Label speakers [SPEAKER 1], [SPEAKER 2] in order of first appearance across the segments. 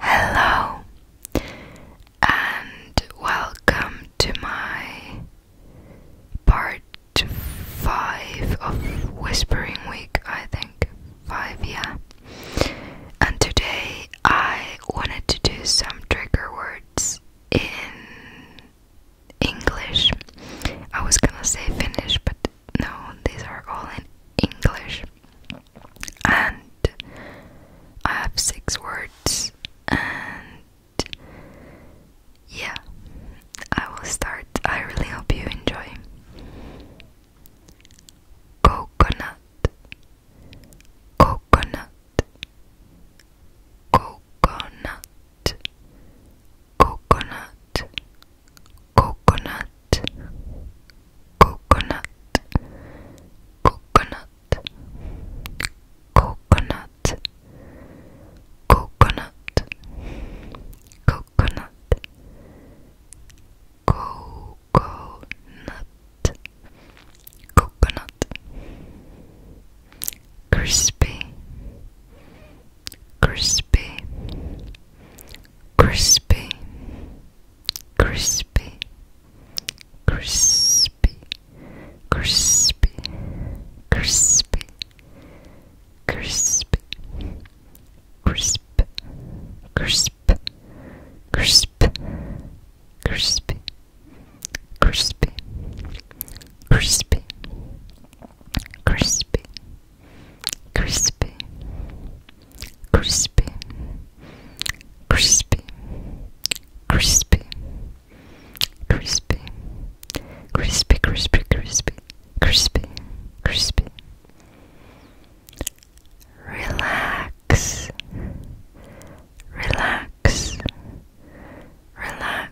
[SPEAKER 1] Hello and welcome to my part 5 of Whispering Week, I think. 5, yeah. And today I wanted to do some trigger words in English. I was gonna say Finnish, but no, these are all in English. And I have six words, and yeah, I will start. I really hope you enjoy. Coconut, coconut, coconut, coconut, coconut, coconut coconut coconut coconut coconut coconut coconut coconut crispy
[SPEAKER 2] crispy, crispy, crispy, crispy, crispy, crispy, crispy, crisp, crisp, crisp, crispy, crispy, crispy crispy, crispy, crispy, crispy, crispy, crispy, crispy, crispy, crispy, crispy, crispy. Relax, relax, relax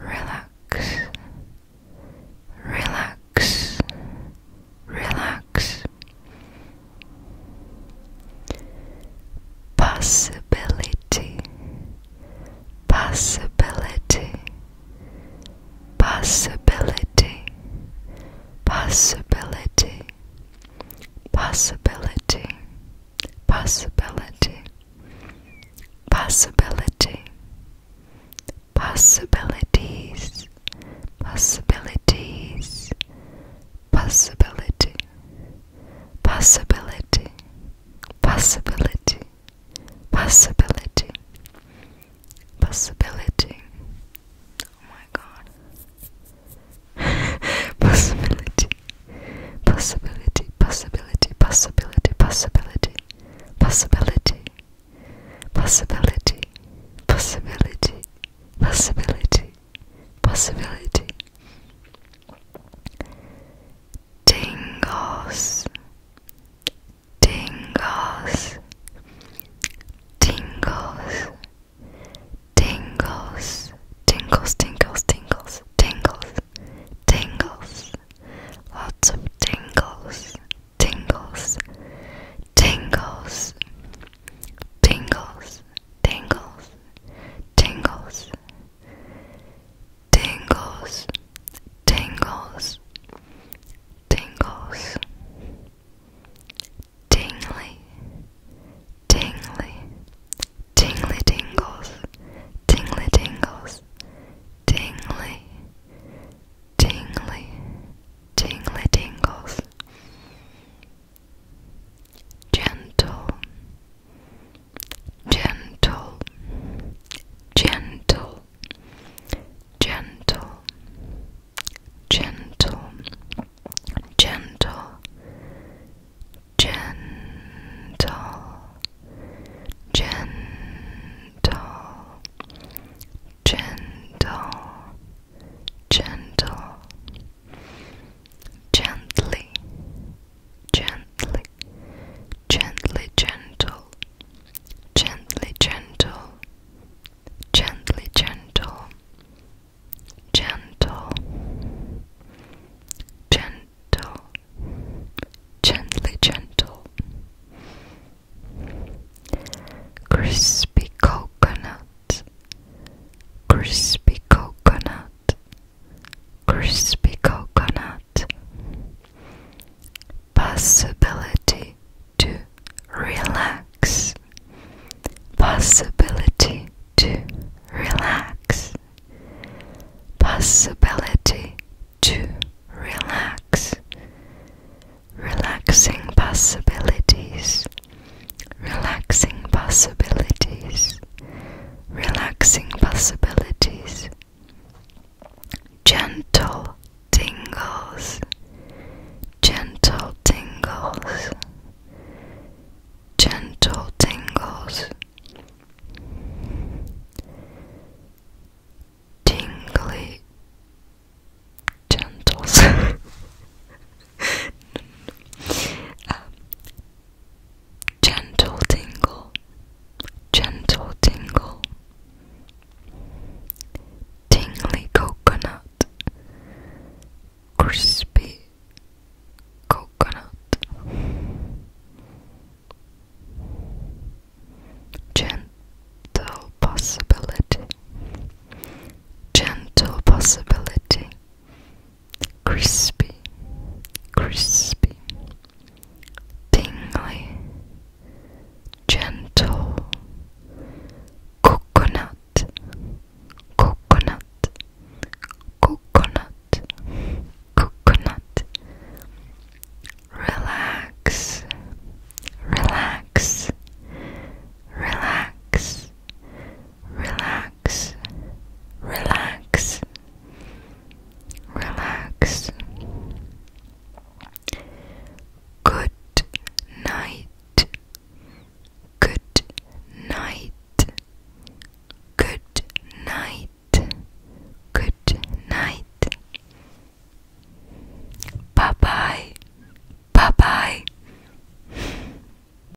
[SPEAKER 1] relax, relax, relax. Possibility, possibility, possibility, possibility, possibility possibility, possibility, possibilities, possibilities, possibility, possibility, possibility, possibility, possibility, Oh my god. possibility. Possibility. Possibility. Possibility. Possibility. Possibility. Possibility. Possibility. Possibility. Tingles. Tingles. Tingles tingles, tingles, tingles, tingles, tingles, tingles, lots of tingles, tingles, tingles, tingles, tingles, tingles, tingles, tingles, tingles tingly, tingly, tingly tingles, tingly tingles, tingly, tingly, tingly tingles, gentle, gentle, gentle, gentle, gentle, gentle, gentle, gentle, gentle, gentle, gently, gently, gently, gentle, gently, gentle, gently gentle gentle gentle gently gentle crispy coconut crispy coconut crispy coconut possibility to relax, possibility to relax, possibility to relax, relaxing possibilities, relaxing possibilities, relaxing possibilities gentle tingles, gentle tingles, gentle tingles, tingly gentles. um, gentle tingle, gentle tingle, tingly coconut, crispy coconut, gentle possibility, gentle possibility crispy, crispy, tingly, gentle, coconut, coconut, coconut, coconut, relax, relax, relax, relax relax, relax, relax. Good night, good night, good night, good night. Bye bye, bye bye.